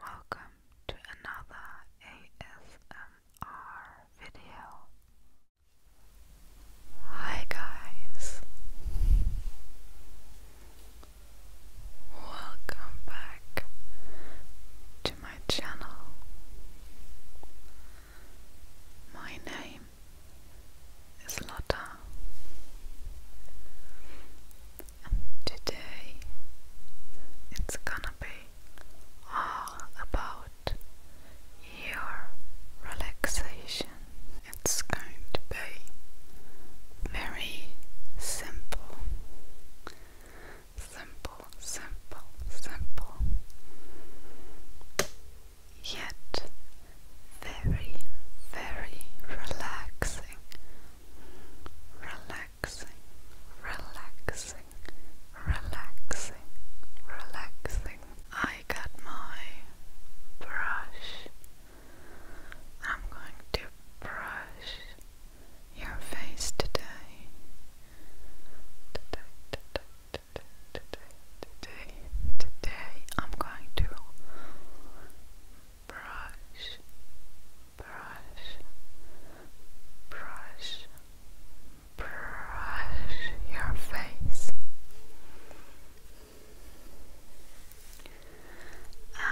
Welcome to another ASMR video. Hi guys. Welcome back to my channel. My name is Lotta today it's gonna be all about your relaxation. It's going to be very simple. Simple, simple, simple. Yet very, very relaxing. Relaxing relaxing, relaxing, relaxing, relaxing. I got my brush. I'm going to brush your face today. Today, today, today, today, today, today. I'm going to brush, brush, brush, brush your face.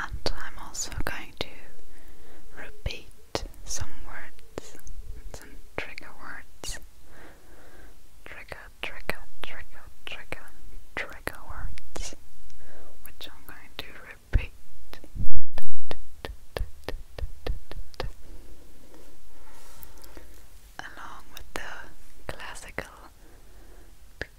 And I'm also going to repeat some words, some trigger words. Trigger, trigger, trigger, trigger, trigger words, which I'm going to repeat. Along with the classical and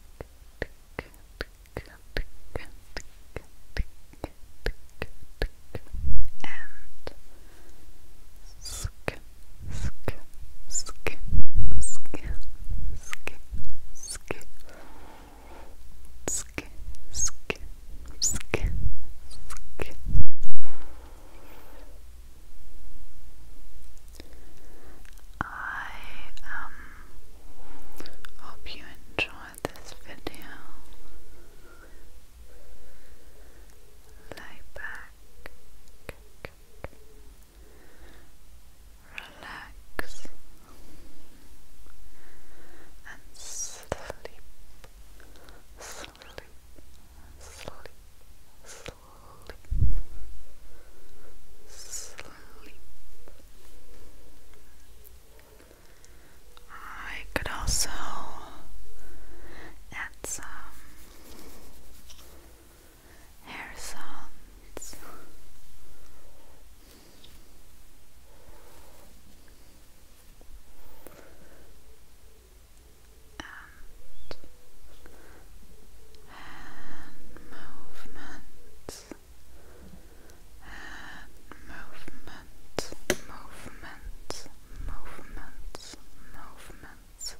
sk, sk, sk, sk. I um hope you enjoyed this video. Lay back, relax and sleep, sleep, sleep, sleep, sleep. I could also add some hair sounds. And hand movements, hand movements, movements, movements, movements.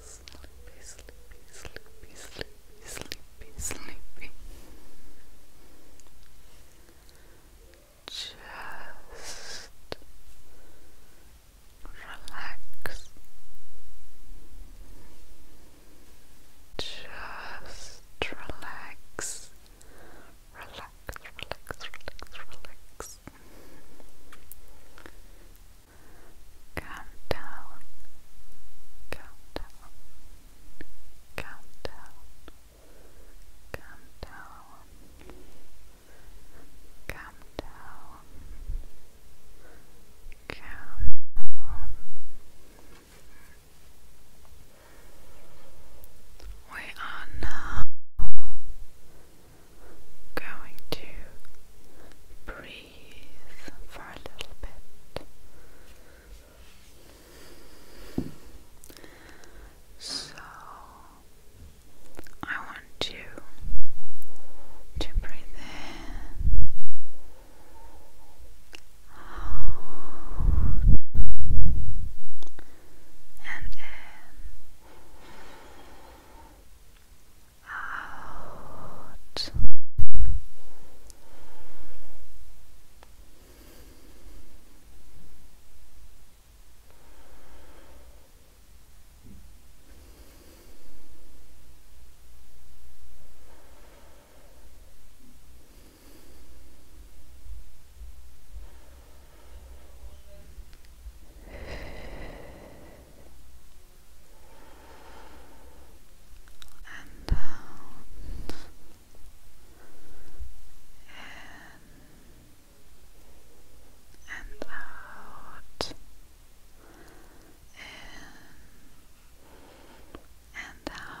Sleepy, sleepy, sleepy, sleepy, sleepy, sleepy. Just relax. Just relax. Relax, relax, relax, relax else. Countdown, countdown, countdown, countdown, countdown, countdown. We are now going to breathe for a little bit. So I want you to breathe in. And in out. Out and down in and out in and out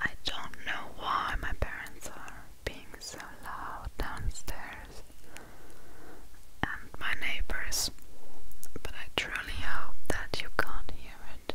I don't know why my parents are being so loud downstairs and my neighbors, but I truly hope that you can't hear it.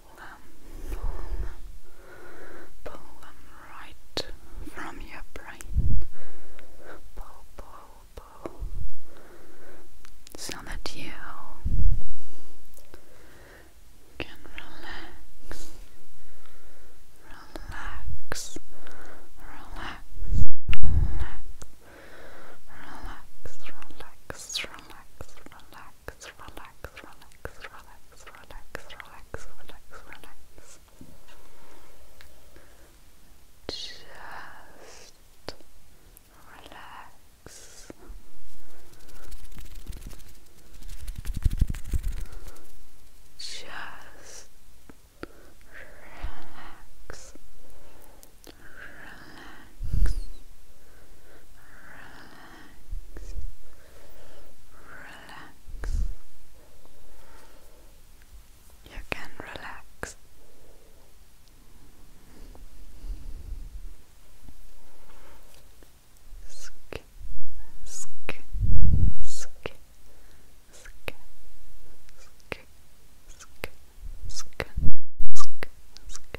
pull them, pull them, pull them right from your brain. Pull, pull, pull, so that you can relax, relax, relax, relax, relax, relax, relax, relax relax, relax, relax, relax, relax, relax, relax, Just relax. Just relax. Relax. Relax relax, You can relax. Sk, sk, sk, sk, sk, sk, sk, sk, sk,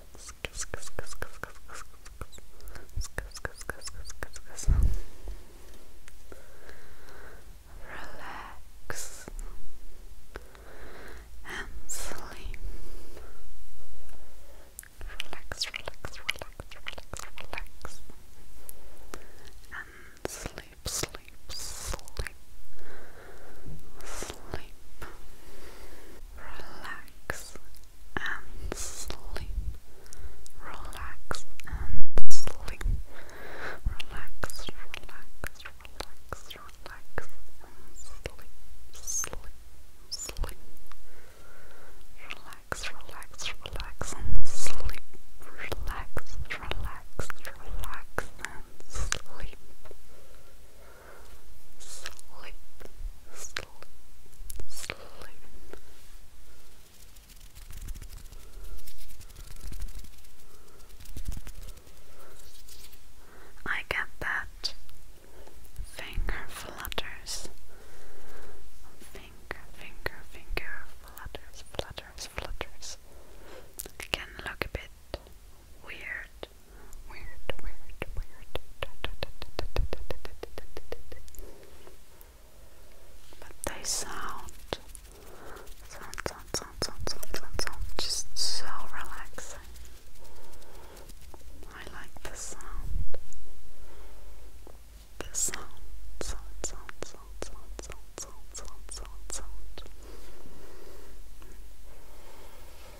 Relax and sleep. Relax, relax, relax, relax, relax. And sleep, sleep, sleep, sleep relax and sleep. Relax and sleep. Relax, relax, relax, relax and sleep. Sleep, sleep. Relax, relax, relax and sleep. Relax, relax, relax and sleep sleep, sleep, sleep. I get that finger flutters, finger, finger, finger flutters, flutters, flutters. can look a bit weird Weird, weird, But they sound, sound, sound, sound, sound, sound, sound, just so relaxing. I like the sound. The sound, sound, sound, sound, sound, sound, sound, sound, sound.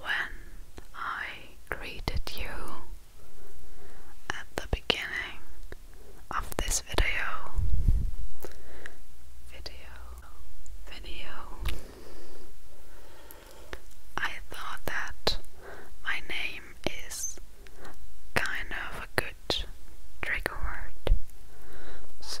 When I greeted you at the beginning of this video, video, video, I thought that my name is kind of a good trigger word. So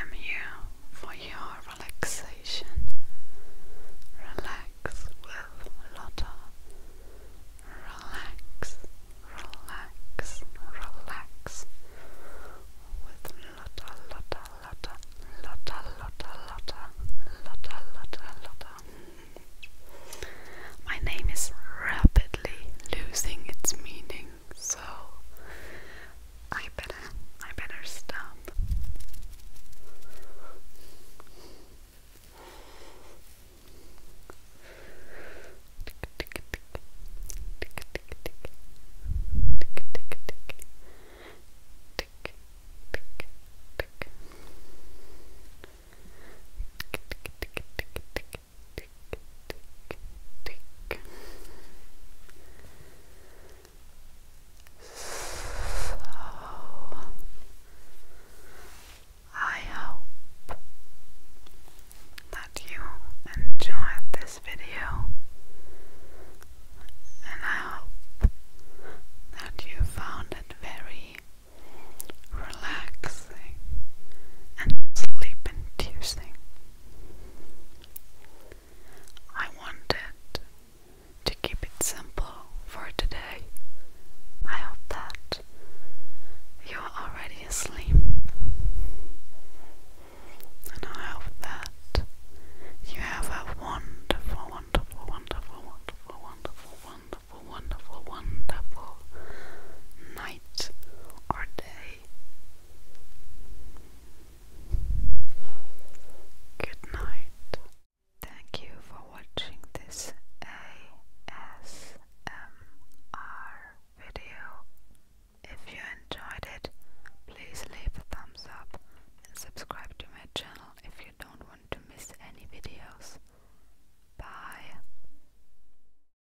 am here for your relaxation. Relax with Lotta. Relax, relax, relax with Lotta, Lotta, Lotta, Lotta, Lotta, Lotta, Lotta, Lotta. My name is rapidly losing its meaning so I better I better stop tick, So I hope that you enjoyed this video and I hope that you found it very relaxing and sleep inducing. I wanted to keep it simple for today. I hope that you're already asleep, and I hope that you have a wonderful, wonderful, wonderful, wonderful, wonderful, wonderful, wonderful, wonderful night or day Good night. Thank you for watching this ASMR video. If you enjoyed it, please leave a thumbs up and subscribe to my channel if you don't want to miss any videos. Bye.